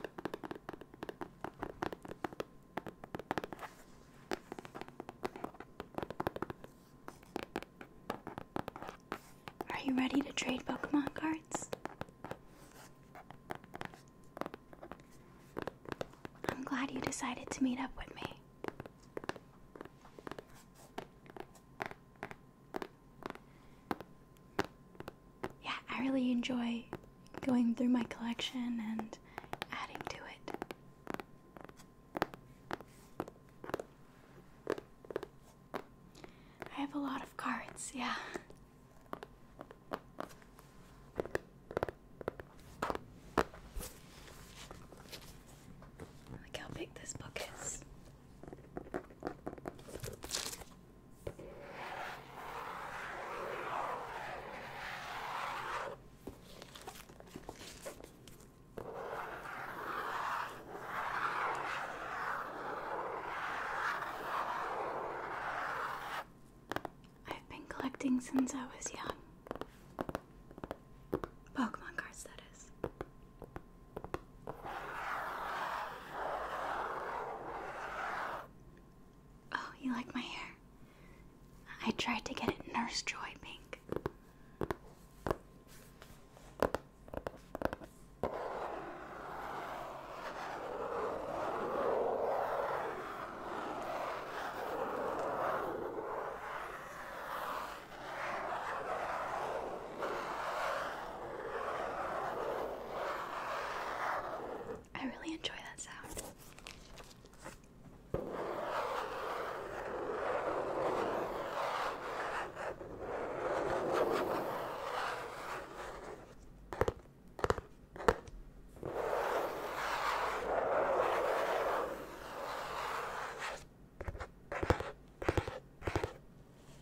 Are you ready to trade Pokemon cards? I'm glad you decided to meet up with me yeah, I really enjoy going through my collection and adding to it. I have a lot of cards, yeah. Look how big this book is. I've been collecting since I was young. Pokemon cards, that is. Oh, you like my hair? I tried to get it Nurse Joy pink. I really enjoy that sound.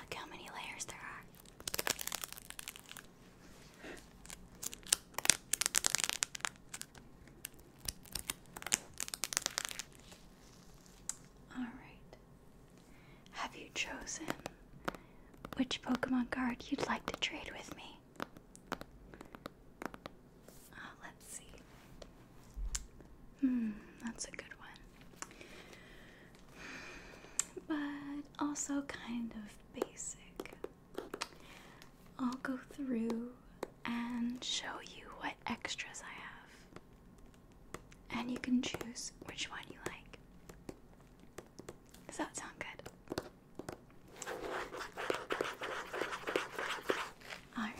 Look how many layers there are. Alright. Have you chosen which Pokemon card you'd like to trade with me? Uh, let's see. Hmm, that's a good one. But also kind of basic. I'll go through and show you what extras I have and you can choose which one you like. Does that sound good? Alright.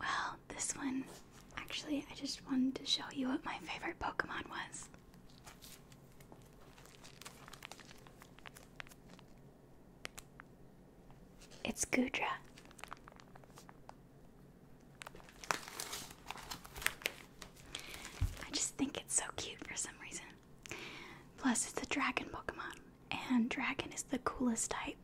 Well, this one Actually, I just wanted to show you what my favorite Pokemon was. It's Gudra. I just think it's so cute for some reason. Plus, it's a dragon Pokemon, and dragon is the coolest type.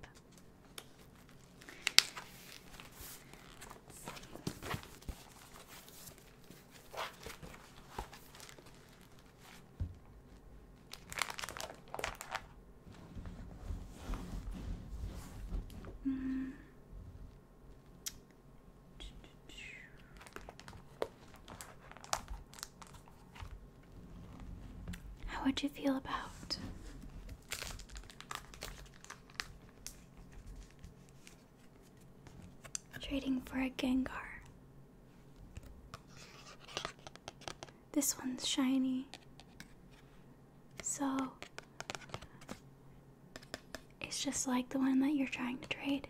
Mm. How would you feel about Trading for a Gengar. This one's shiny. So it's just like the one that you're trying to trade.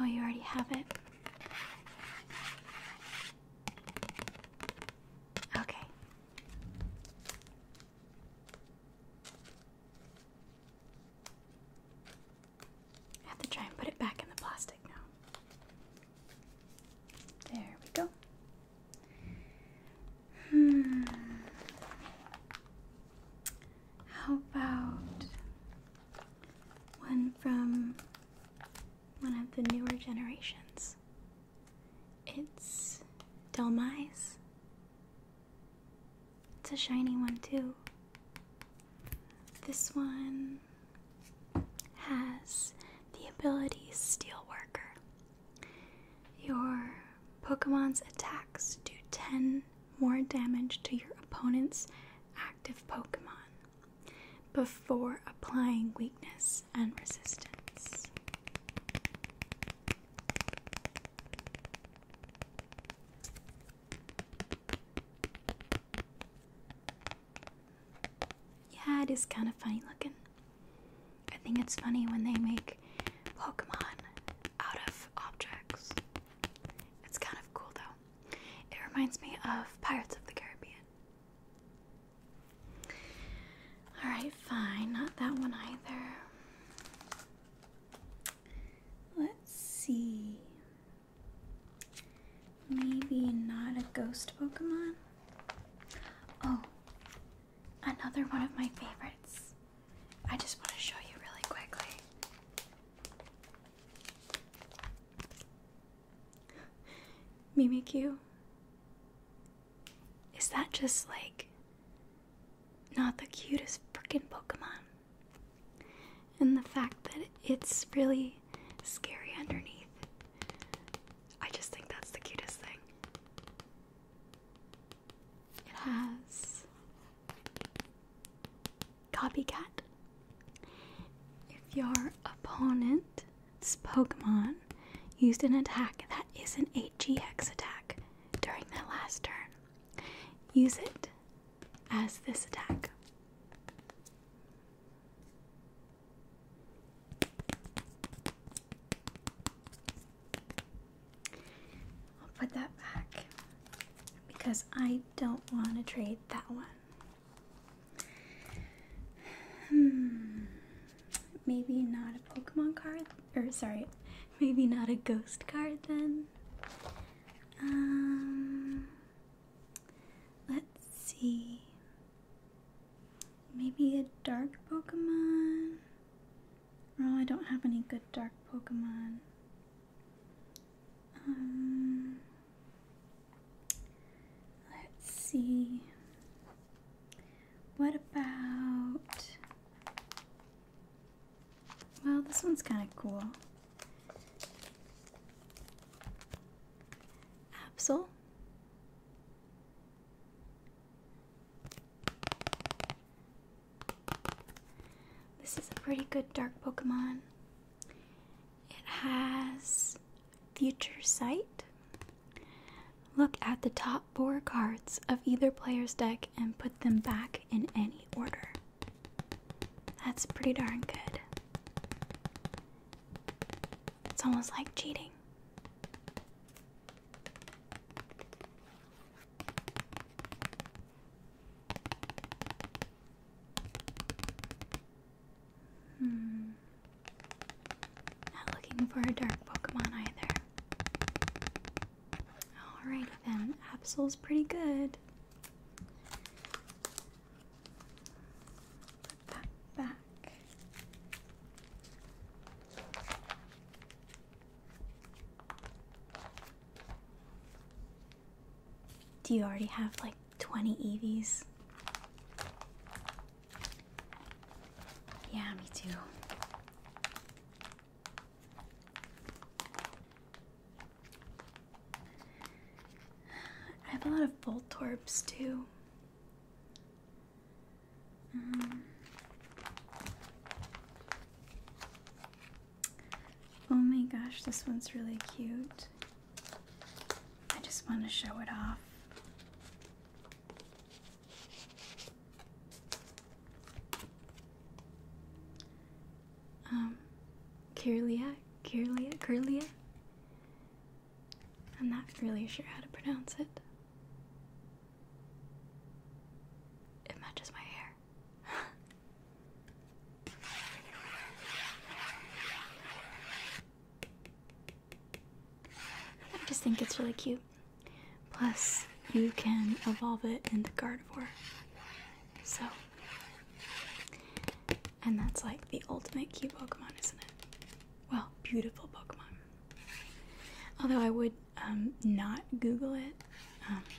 Oh, you already have it? Okay. I have to try and put it back in the plastic now. There we go. Hmm. How about one from one of the newer generations. It's Delmise. It's a shiny one too. This one has the ability Steel Worker. Your Pokemon's attacks do 10 more damage to your opponent's active Pokemon before applying weakness and resistance. Yeah, it is kind of funny looking. I think it's funny when they make Pokemon out of objects. It's kind of cool though. It reminds me of Pirates of the Caribbean. Alright, fine. Not that one either. Let's see. Maybe not a ghost Pokemon. Oh, another one of my favorites. I just want to show you really quickly. Mimi Q. Is that just like not the cutest freaking Pokemon? And the fact that it's really scary underneath. I just think that's the cutest thing. It has Copycat. If your opponent's Pokemon used an attack that is an 8GX attack during their last turn, use it as this attack. I'll put that back because I don't want to trade that one. Hmm. Maybe not a Pokemon card, or sorry, maybe not a ghost card then. Um, let's see. Maybe a dark Pokemon. Oh, I don't have any good dark Pokemon. Um, let's see. What about. Well, this one's kind of cool. Absol. This is a pretty good dark Pokemon. It has Future Sight. Look at the top four cards of either player's deck and put them back in any order. That's pretty darn good. It's almost like cheating. Hmm. Not looking for a dark Pokemon either. Alright then, Absol's pretty good. Put that back. Do you already have like 20 Eevees? Yeah, me too. I have a lot of bolt torps too. Mm-hmm. Oh my gosh, this one's really cute. I just want to show it off. Um, Kirlia, curly, Kirlia. I'm not really sure how to pronounce it. It matches my hair. I just think it's really cute. Plus, you can evolve it into Gardevoir. So, and that's like the ultimate cute Pokemon, isn't it? Well, beautiful Pokemon. Although I would um, not Google it. Um,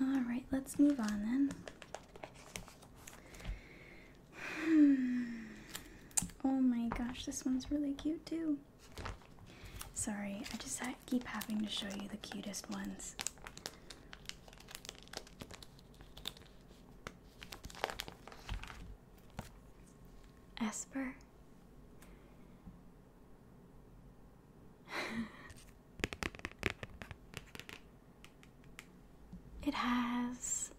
All right, let's move on then. Hmm. Oh my gosh, this one's really cute too. Sorry, I just keep having to show you the cutest ones. Esper. it has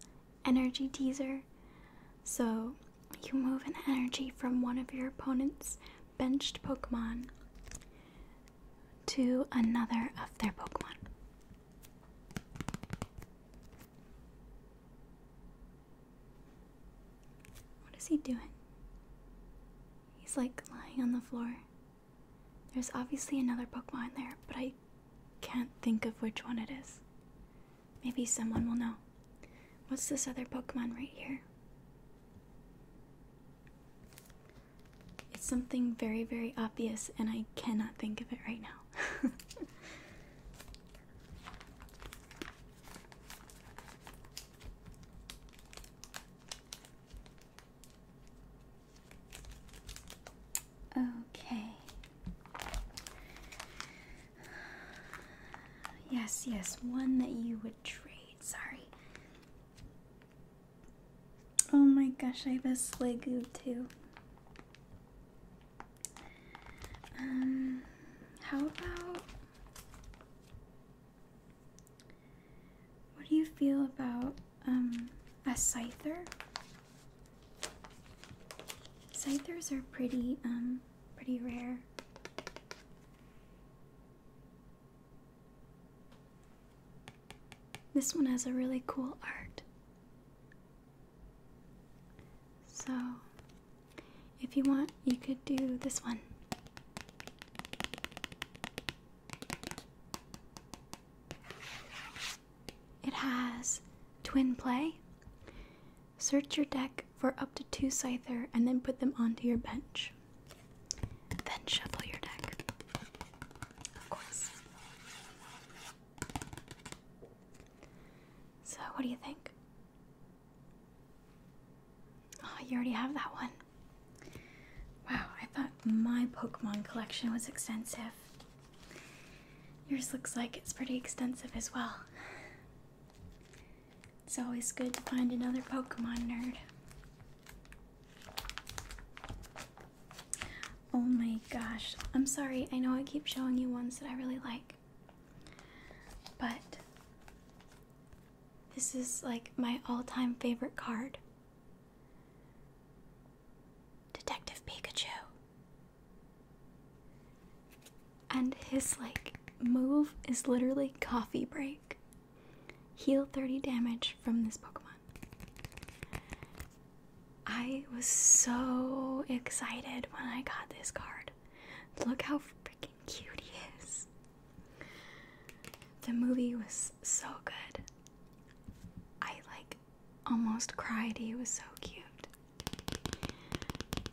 energy teaser, so you move an energy from one of your opponent's benched Pokemon to another of their Pokemon. What is he doing? He's like lying on the floor. There's obviously another Pokemon there, but I can't think of which one it is. Maybe someone will know. What's this other Pokemon right here? It's something very, very obvious, and I cannot think of it right now. Okay. Yes, yes, one that you would trade. Sorry. Oh my gosh, I have a Sligoo too. Um, how about what do you feel about um, a scyther? Scythers are pretty um pretty rare. This one has a really cool art. So if you want, you could do this one. It has twin play. Search your deck for up to two scyther and then put them onto your bench. Then shuffle your deck. Of course. So, what do you think? Oh, you already have that one. Wow, I thought my Pokemon collection was extensive. Yours looks like it's pretty extensive as well. It's always good to find another Pokemon nerd. Oh my gosh. I'm sorry, I know I keep showing you ones that I really like. But this is like my all time favorite card Detective Pikachu. And his like move is literally coffee break. Heal 30 damage from this Pokemon. I was so excited when I got this card. Look how freaking cute he is. The movie was so good. I like almost cried. He was so cute.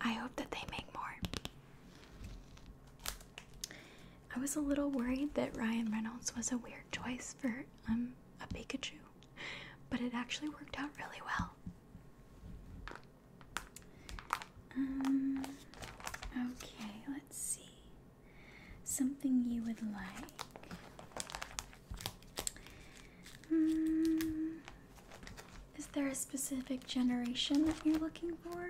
I hope that they make more. I was a little worried that Ryan Reynolds was a weird choice for um a Pikachu, but it actually worked out really well. Um, okay, let's see. Something you would like. Um, is there a specific generation that you're looking for?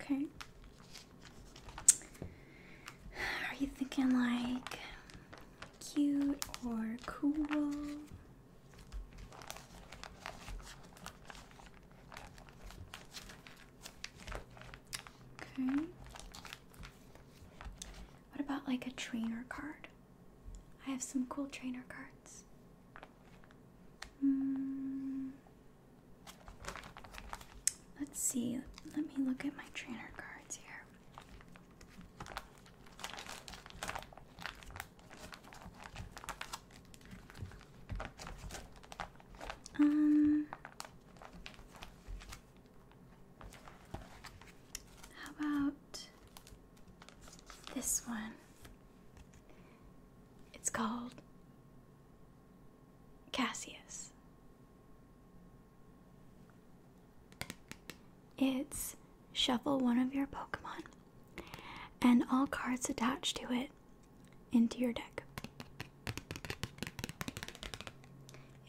Okay. Are you thinking like cute or cool? Okay. What about like a trainer card? I have some cool trainer cards. Hmm. Let's see. Let me look at my trainer cards here. Um How about this one. It's called Cassius. It's shuffle one of your Pokemon and all cards attached to it into your deck.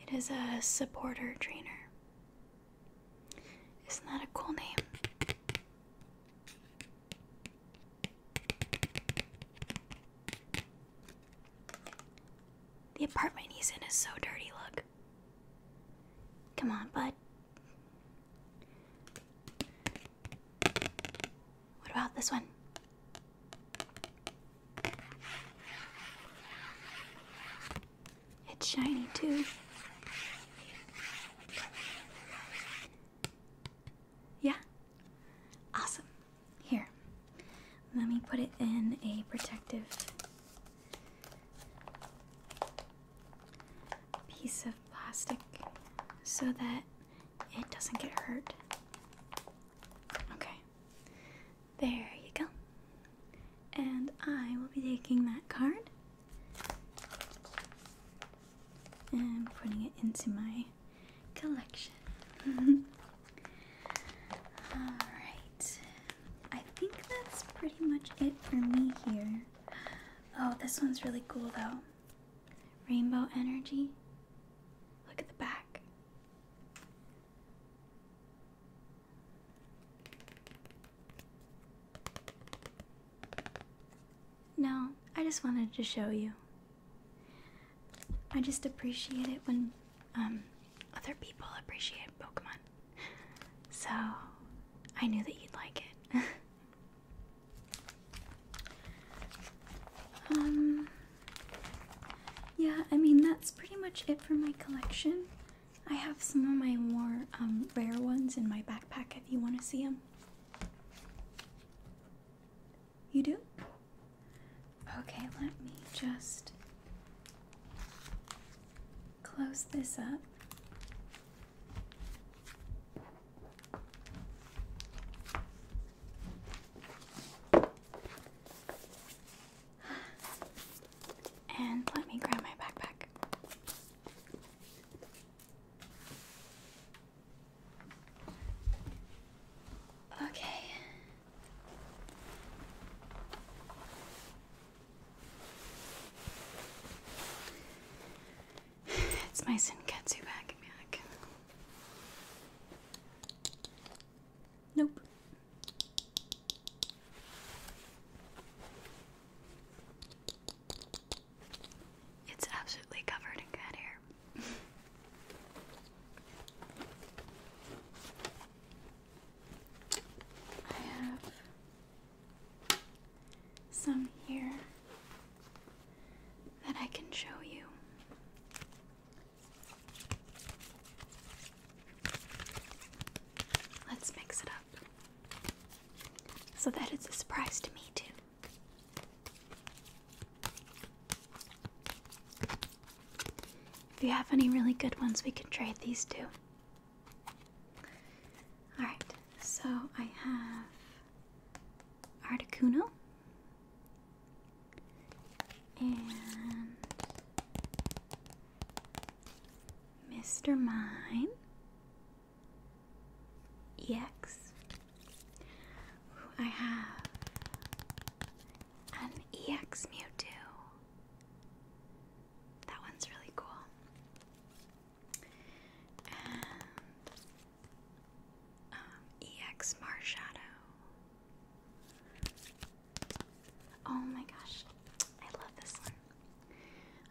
It is a supporter trainer. Isn't that a cool name? The apartment he's in is so dirty, look. Come on, bud. What about this one? It's shiny too. Yeah. Awesome. Here. Let me put it in a protective piece of plastic so that it doesn't get hurt. Okay. There you go. And I will be taking that card and putting it into my collection. Alright, I think that's pretty much it for me here. Oh, this one's really cool though. Rainbow energy. Look at the back. No, I just wanted to show you. I just appreciate it when um, other people appreciate Pokemon. So I knew that you'd like it. um, yeah, I mean, that's pretty much it for my collection. I have some of my more um, rare ones in my backpack if you want to see them. You do? Okay, let me just close this up. And let me grab my backpack. Okay. It's my Senketsu bag, Nope. It's absolutely covered in cat hair. I have some here that I can show you. Let's mix it up up. So that is a surprise to me, too. If you have any really good ones, we can trade these two. Alright, so I have Articuno and Mr. Mine, EX. I have an EX Mewtwo. That one's really cool. And um, EX Marshadow. Oh my gosh, I love this one.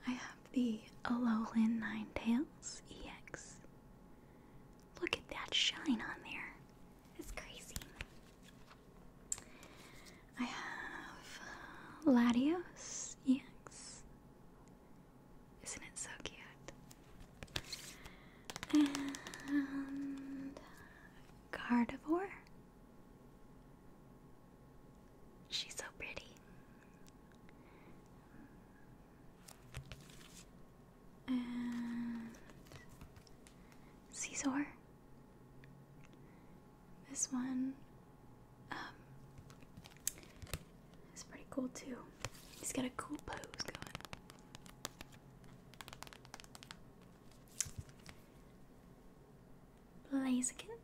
I have the Alolan Tails EX. Look at that shine on there. It's crazy. I have uh, Latios EX. Isn't it so cute? And Gardevoir She's so pretty. And Caesar. This one um, is pretty cool too. He's got a cool pose going. Blaziken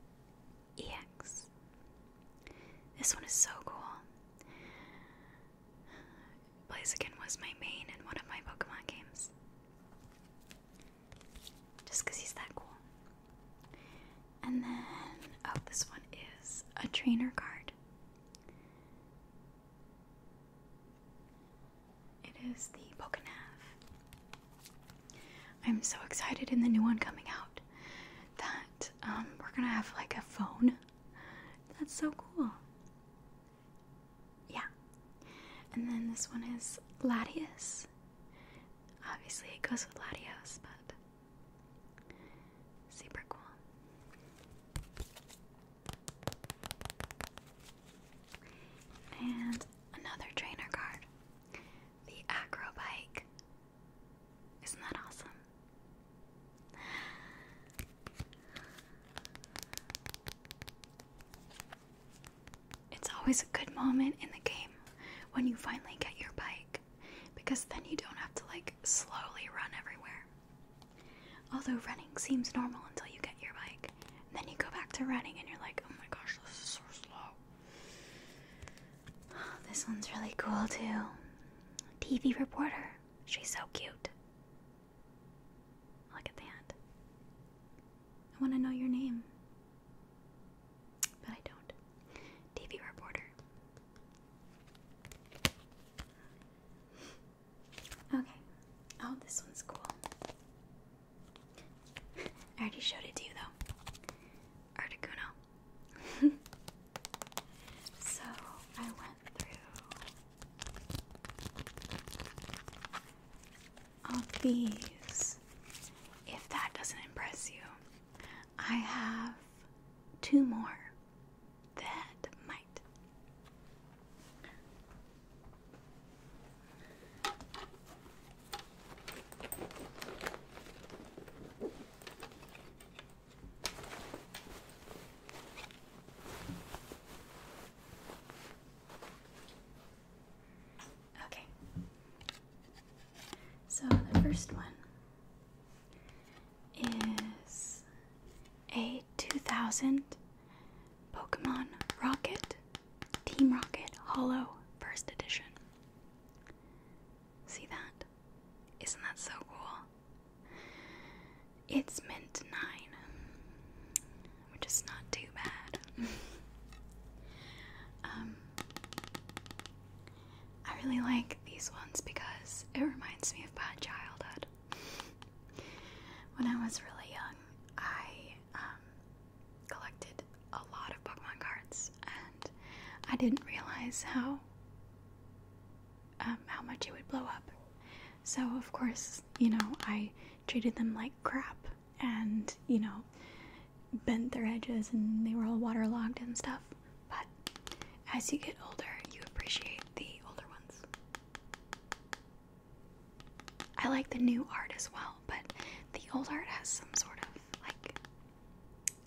EX. This one is so cool. Blaziken was my main in one of my Pokemon games. Just because he's that cool. And then, oh, this one is a trainer card. It is the Pokenav. I'm so excited in the new one coming out that um, we're gonna have like a phone. That's so cool. Yeah. And then this one is Latias. Obviously, it goes with Latios, but super cool. And another trainer card the acro Isn't that awesome? It's always a good moment in the game when you finally get your bike because then you don't have to like slowly run everywhere. Although running seems normal until you get your bike, and then you go back to running and you're like, oh my gosh, this is so slow. this one's really cool too. TV reporter. She's so cute. Look at that. I want to know your name. But I don't. TV reporter. Okay. Oh, this one's cool. I already showed it to you though. Articuno. so I went through all these. If that doesn't impress you, I have two more that might. Okay. So the first one is a 2000 Pokemon Rocket Team Rocket Hollow First Edition. See that? Isn't that so cool? It's mint 9, which is not too bad. um, I really like these ones because it reminds me of my childhood. When I was really young, I um, collected a lot of Pokemon cards, and I didn't realize how um, how much it would blow up. So of course, you know, I treated them like crap, and you know, bent their edges, and they were all waterlogged and stuff. But as you get older, you appreciate the older ones. I like the new art as well, but the old art has some sort of like,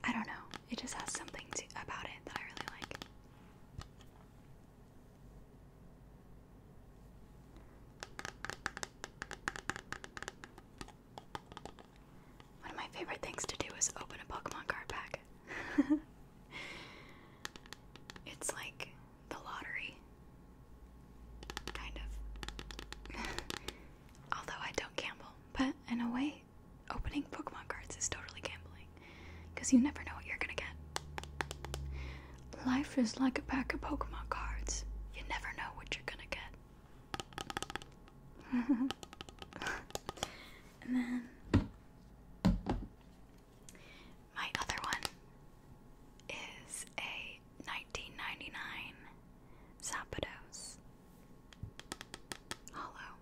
I don't know. It just has something to, about it that I really like. One of my favorite things to do is open a Pokemon card pack. it's like the lottery. Kind of. Although I don't gamble, but in a way, opening Pokemon cards is totally gambling because you never know what you're gonna get. Life is like a pack of Pokemon cards, you never know what you're gonna get. and then my other one is a 1999 Zapdos, Hollow,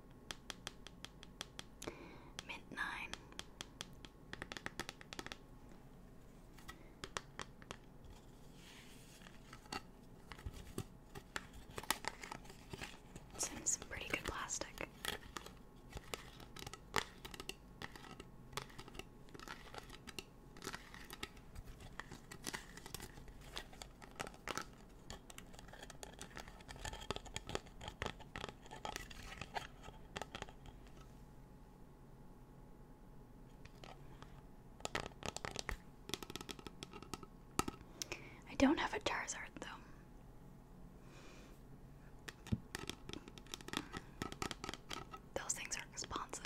Mint Nine, it's pretty good plastic. I don't have a Charizard though. Those things are responsive.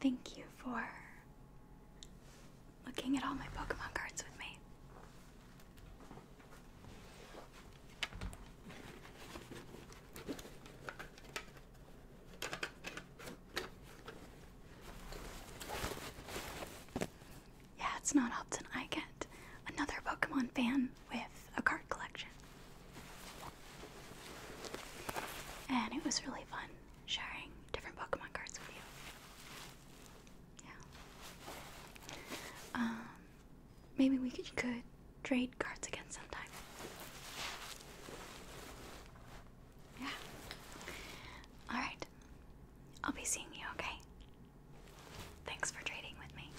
Thank you for looking at all my Pokemon cards with me. Yeah, it's not often I get another Pokemon fan with a card collection. And it was really fun sharing different Pokemon cards with you. Yeah. Um, maybe we could, trade cards again sometime. Yeah. Alright. I'll be seeing you, okay? Thanks for trading with me.